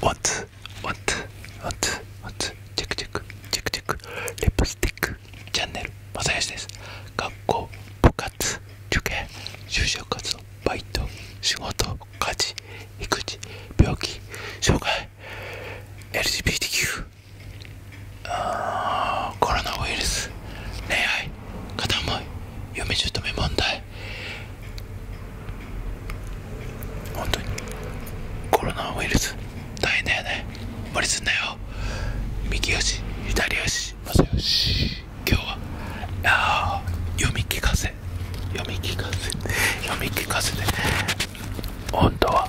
What? What? w h チェックチェックチェックチェックリップスティックチャンネルまさよしです学校部活受験就職活動バイト仕事家事育児病気障害 LGBTQ コロナウイルス恋愛片思い嫁姑問題本当にコロナウイルス大変だよね無理すんなよ右よし左よしまよし今日はあ読み聞かせ読み聞かせ読み聞かせで本当は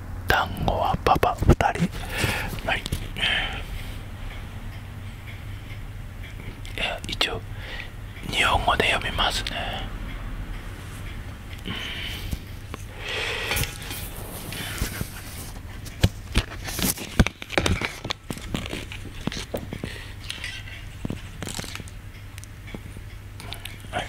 団子はパパ二人はいええ、一応日本語で読みますね、うんはいはい、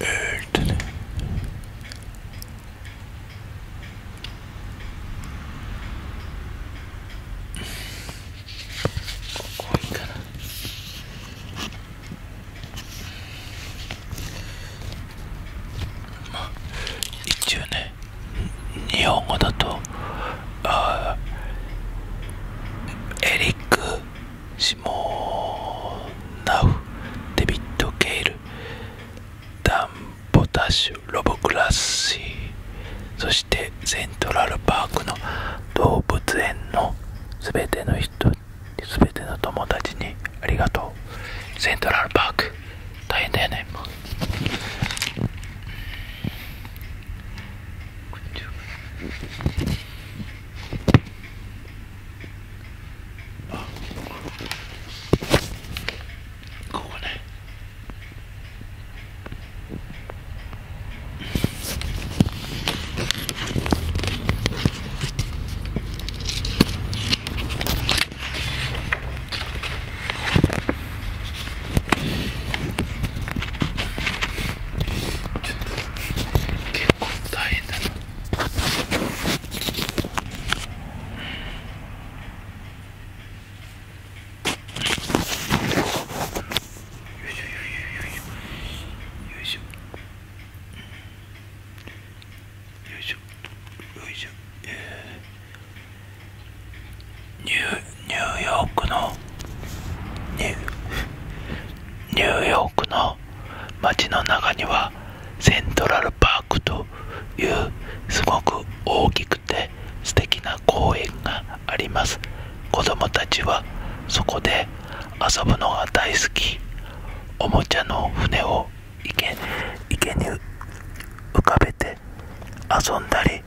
öldü. ここいいかなまあ一応ね日本語だとあエリックシモナウデビッド・ケイルダン・ポタッシュロボ・クラッシーそしてセントラルパークの動物園の全ての人すべての友達にありがとうセントラルパーク大変だよねもう。あ、ここね結構大変だな。ニューヨークのニューヨークの街の中にはセントラルパークというすごく大きくて素敵な公園があります子供たちはそこで遊ぶのが大好きおもちゃの船を池に浮かべて遊んだり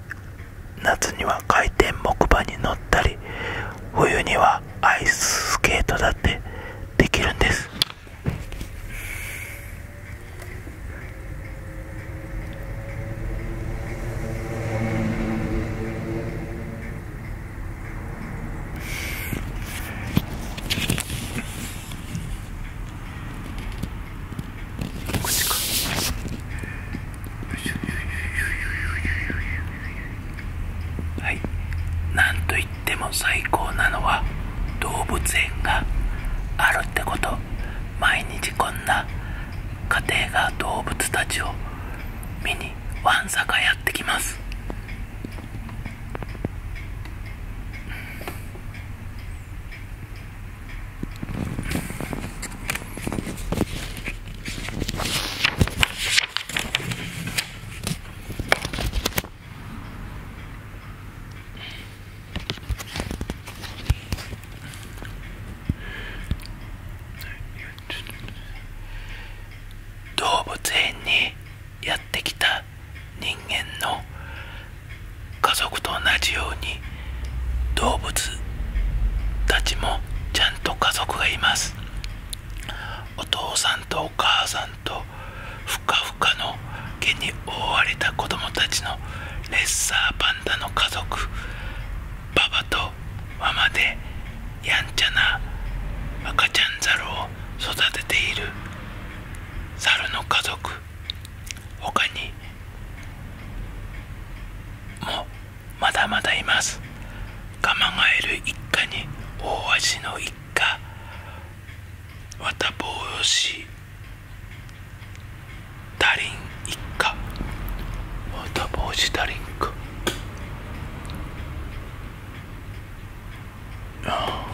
夏には回転木馬に乗ったり冬にはアイススケートだってできるんです口か。はいなんといっても最高なのは動物園があるってこと毎日こんな家庭が動物たちを見にわんさかやってきます動物園にやってきた人間の家族と同じように動物たちもちゃんと家族がいますお父さんとお母さんとふかふかの毛に覆われた子供たちのレッサーパンダの家族パパとママでやんちゃな赤ちゃんザルを育てている猿の家族他にもまだまだいますガまがえる一家に大味の一家わた綿帽し。ダりん一家わたぼう子ダりんかああ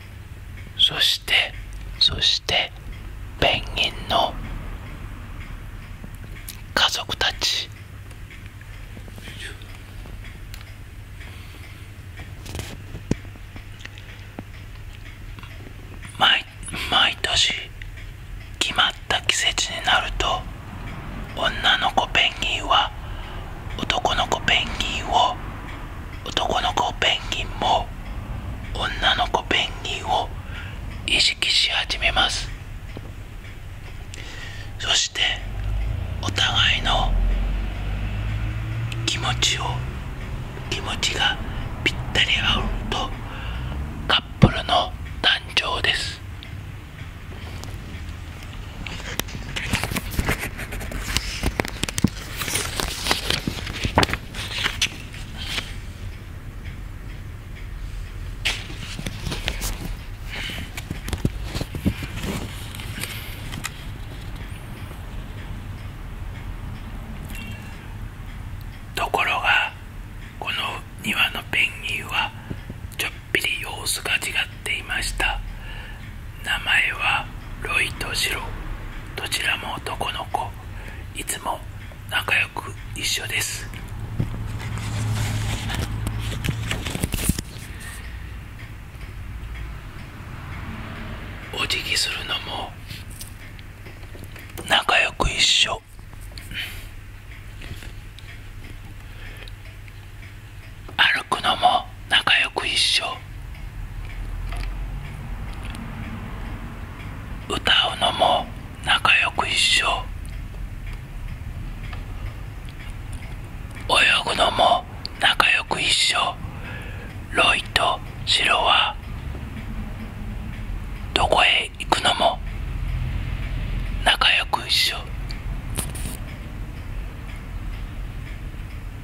そしてそしてペンギンの家族たち毎毎年決まった季節になると女の子ペンギンは男の子ペンギンを男の子ペンギンも女の子ペンギンを意識し始めますそしてお互いの気持ちを気持ちがぴったり合うとカップルの誕生ですところがこの庭のペンギンはちょっぴり様子が違っていました名前はロイとジロどちらも男の子いつも仲良く一緒ですお辞儀するのも仲良く一緒歩くのも仲良く一緒歌うのも仲良く一緒泳ぐのも仲良く一緒ロイとシロはどこへ行くのも仲良く一緒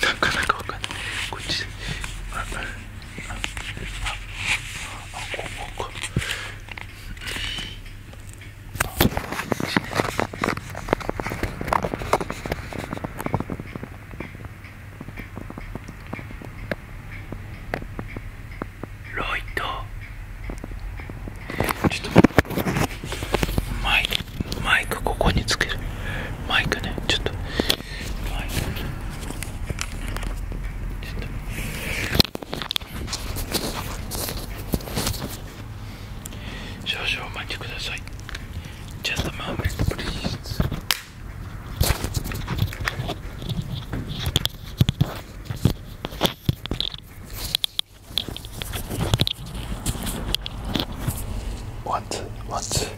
なかなかわかんないこっちあああここここロイドマイマイクここにつけるマイクねちょっとマイク少々お待ちください Just a moment p l e ワンツーワンちょ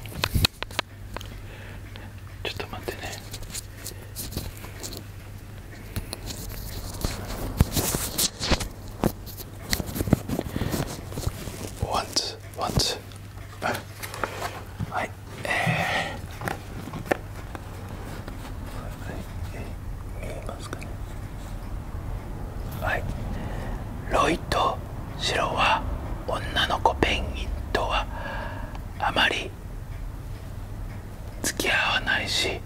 っと待ってねワンツーワンはいえーはいロイとシロは女の子ペンギンとはあまり付き合わないし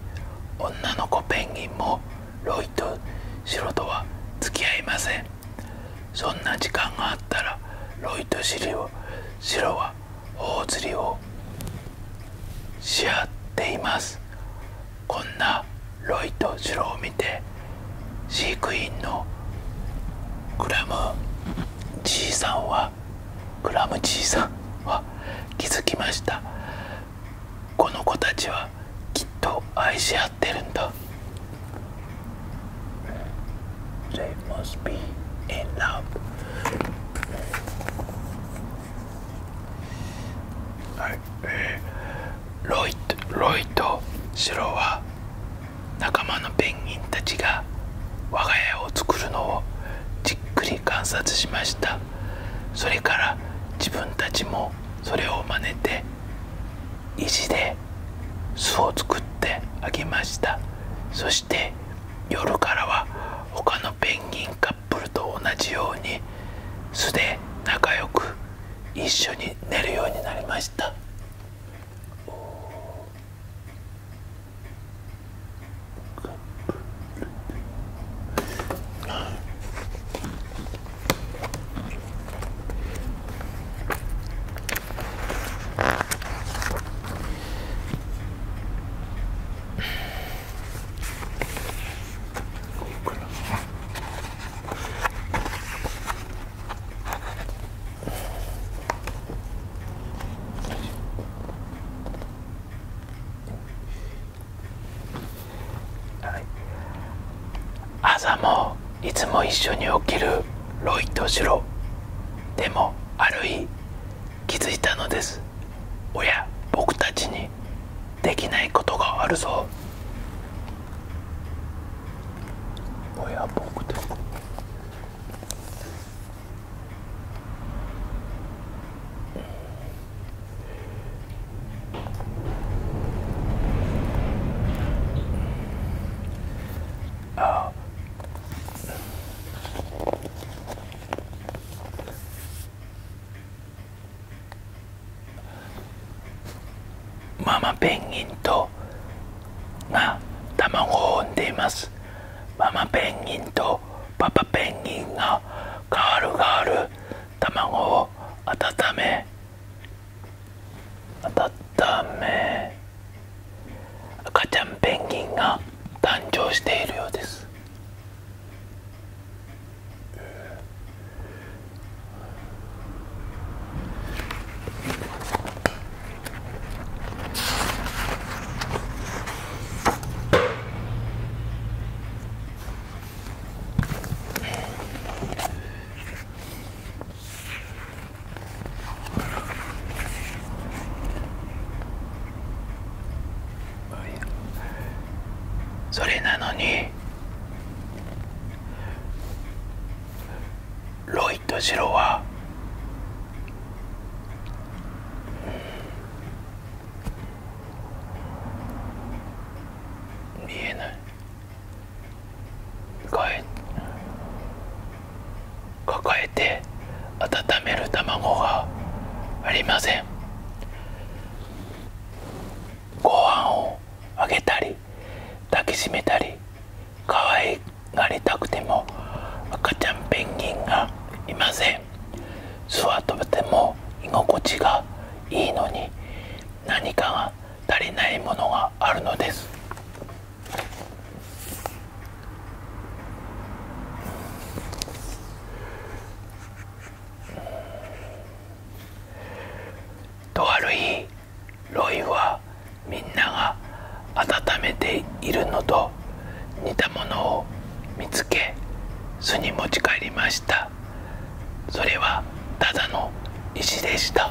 女の子ペンギンもロイとシロとは付き合いませんそんな時間があったらロイとシロはシロは大釣りをしっていますこんなロイとジロを見て飼育員のクラムじいさんはクラムじいさんは気づきましたこの子たちはきっと愛し合ってるんだはいロイとロイとシは仲間のペンギンたちが我が家を作るのをじっくり観察しましたそれから自分たちもそれを真似て石で巣を作ってあげましたそして夜からは他のペンギンカップルと同じように素で仲良く一緒に寝るようになりました朝もいつも一緒に起きるロイとシロでもある気づいたのですおや僕たちにできないことがあるぞおや僕たちあママペンギンとが卵を産んでいますママペンギンとパパペンギンがガールガール卵を温め温め赤ちゃんペンギンが誕生しているようですい。それなのにロイとジロは見えない帰抱えて温める卵がありませんご飯をあげたり抱きしめたり可愛がりたくても赤ちゃんペンギンがいません巣はとても居心地がいいのに何かが足りないものがあるのですとある日ロイはみんなが温めているのと似たものを見つけ巣に持ち帰りましたそれはただの石でした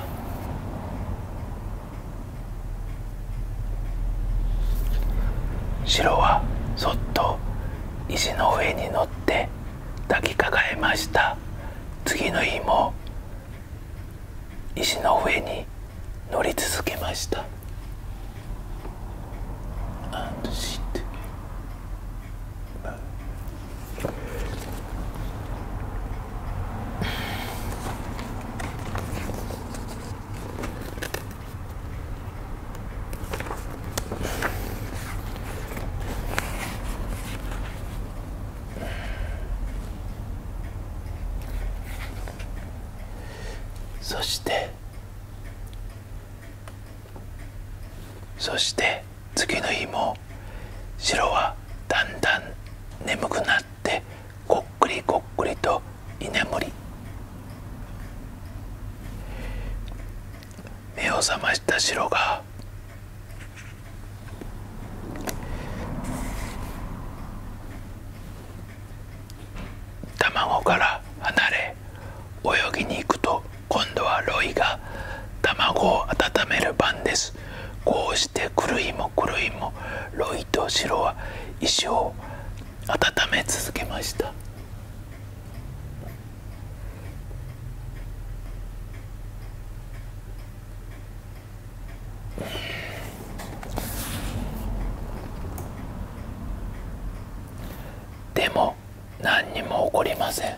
白はそっと石の上に乗って抱きかかえました次の日も石の上に乗り続けましたそしてそして次の日も白はだんだん眠くなってっこっくりこっくりと居眠り目を覚ましたシが卵から離れ泳ぎに行くと今度はロイが卵を温める番ですこうして狂いも狂いもロイが、麦と白は石を温め続けましたでも何にも起こりません。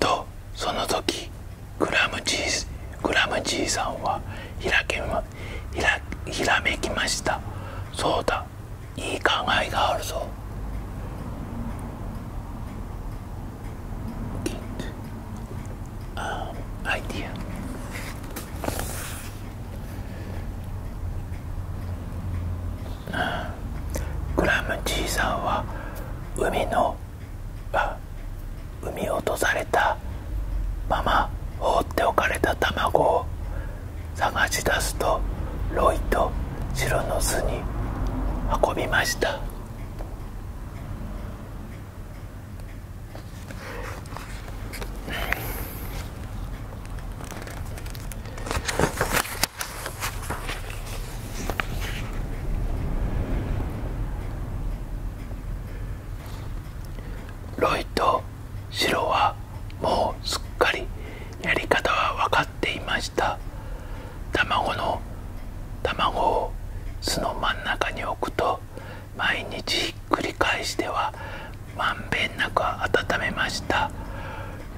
とその時グラムじいグラムチーさんはひらけ、ま、ひらひらめきましたそうだいい考えがあるぞアイデアクラムじいさんは海のあ海落とされたまま放っておかれた卵を探し出すとロイとシロの巣に運びましたロイとシロはもうすっかりやり方は分かっていました卵の卵を巣の真ん中に置くと毎日ひっくり返してはまんべんなく温めました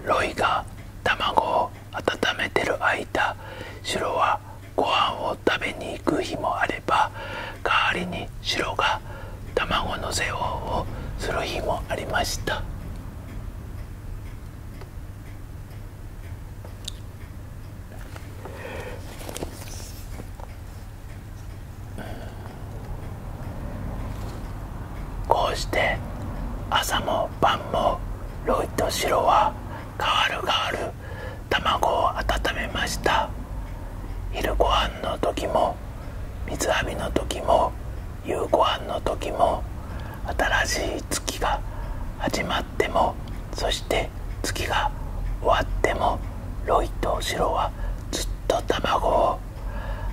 ロイが卵を温めてる間白はご飯を食べに行く日もあれば代わりに白が卵の世話をする日もありましたこうして朝も晩もロイとシロは変わる変わる卵を温めました昼ご飯の時も水浴びの時も夕ご飯の時も新しい月が始まってもそして月が終わってもロイとシロはずっと卵をと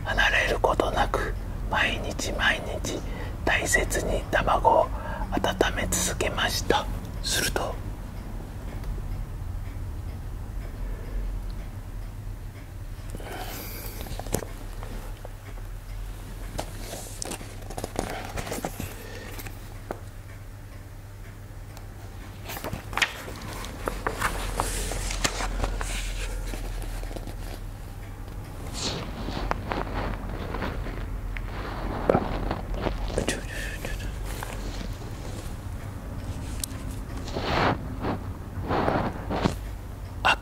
離れることなく毎日毎日大切に卵を温め続けましたすると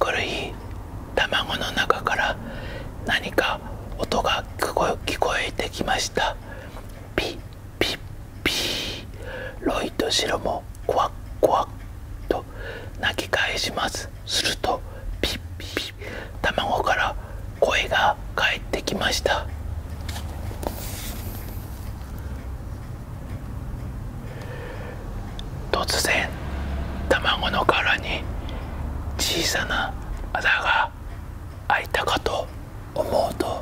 明るい卵の中から何か音が聞こえてきましたピッピッピーロイとシロもコワッコワッと泣き返しますするとピッピッピッ卵から声が返ってきました突然卵の殻に小さなあざが開いたかと思うと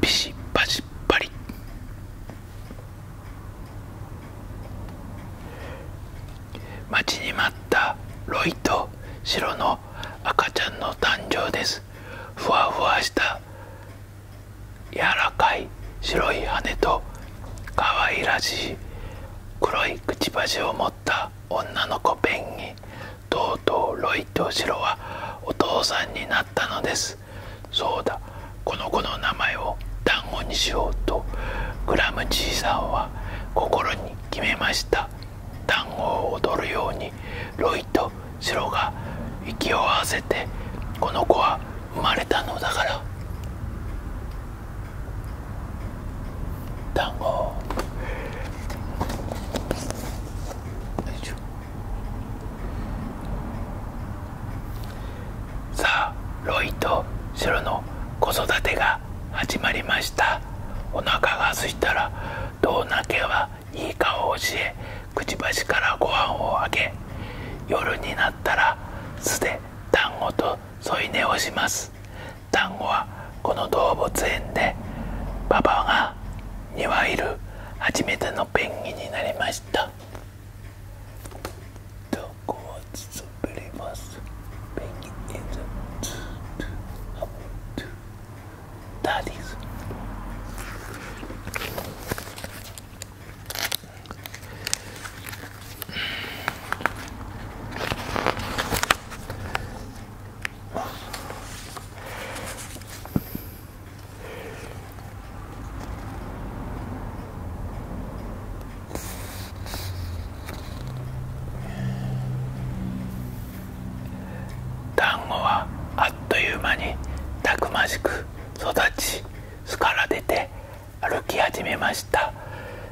ビシッバシッバリ待ちに待ったロイとシロの赤ちゃんの誕生ですふわふわした柔らかい白い羽と可愛らしい黒いくちばしを持った女の子ペンギンとうとうロイとシロはお父さんになったのですそうだこの子の名前を団子にしようとグラムじいさんは心に決めました団子を踊るようにロイとシロが息を合わせてこの子は生まれたのだから団子よさあロイとシロの子育てが始まりましたお腹がすいたらどうなけはいい顔を教えくちばしからご飯をあげ夜になったら酢で団子と添い寝をします団子はこの動物園でパパがにわいる初めてのペンギンになりましたどこをつぶりますペンギン団子はあっという間にたくましく育ち巣から出て歩き始めました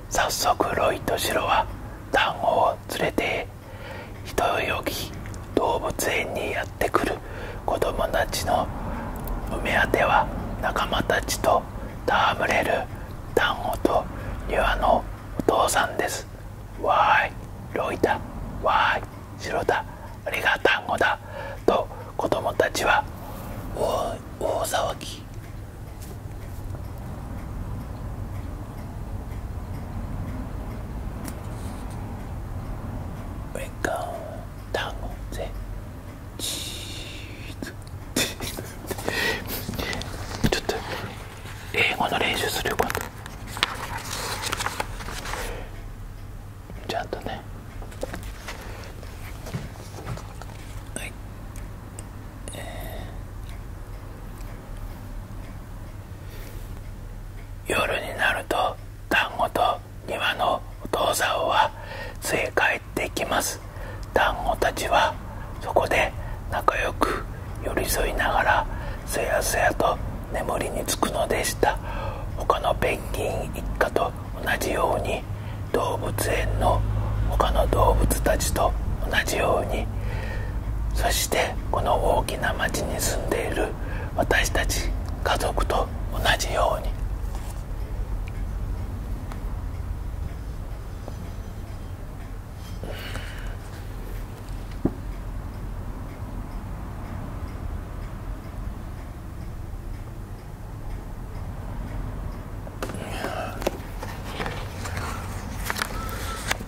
早速ロイとシロは団子を連れて人よき動物園にやってくるる子供たちのお目当ては仲間たちと戯れる丹後と庭のお父さんですわーいロイだわーい白だあれが丹後だと子供たちは大騒ぎ We go down the cheese ちょっと英語の練習するよ今度ちゃんとねはいえー夜になると団子と庭のお父さんは連れ帰ってきます団子たちはそこで仲良く寄り添いながらすやすやと眠りにつくのでした他のペンギン一家と同じように動物園の他の動物たちと同じようにそしてこの大きな町に住んでいる私たち家族と同じように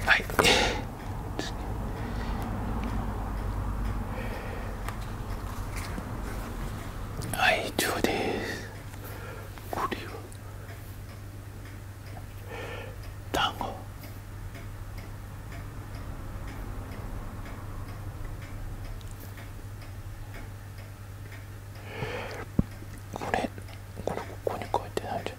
はい。はい以上ですこれは単語これこれここに書いてないじゃん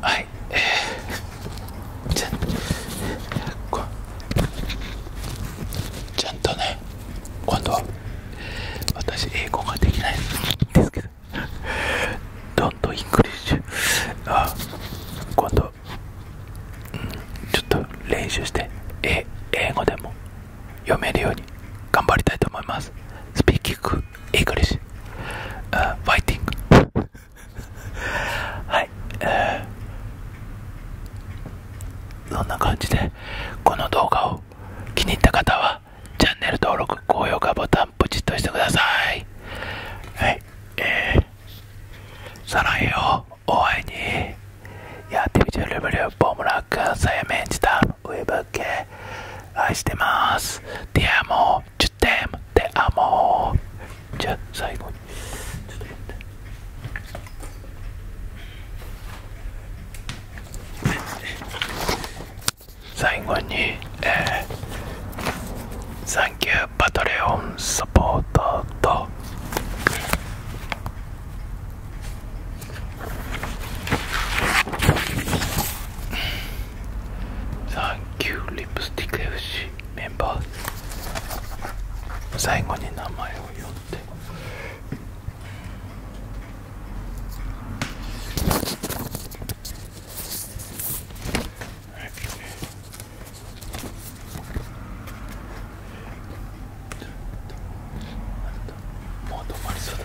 はいえちゃんとね今度私英語ができないんですけど Don't English あ今度、うん、ちょっと練習して英語でも読めるように頑張りたいと思いますスピーキング English uh, f i g h t はい、えー、そんな感じでこの動画を気に入った方はチャンネル登録高評価ボタンプチッとしてくださいはいえー、サランをお会いにやってみてるぶりをボムラックさやめんじたウェブ系愛してますディアモ Je t'aime, te amo. じゃあ最後にちょっと待って最後にえー、サンキューパトレオンサポートとサンキューリプスティック FC メンバー最後に名前を呼んでもう止まりそうだ。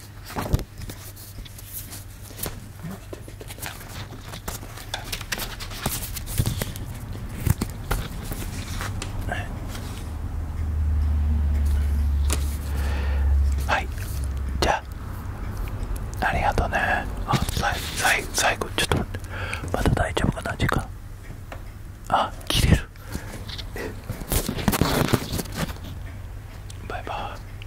はいじゃあありがとうねあさいさい最後ちょっと待ってまた大丈夫かな時間あ切れるバイバイ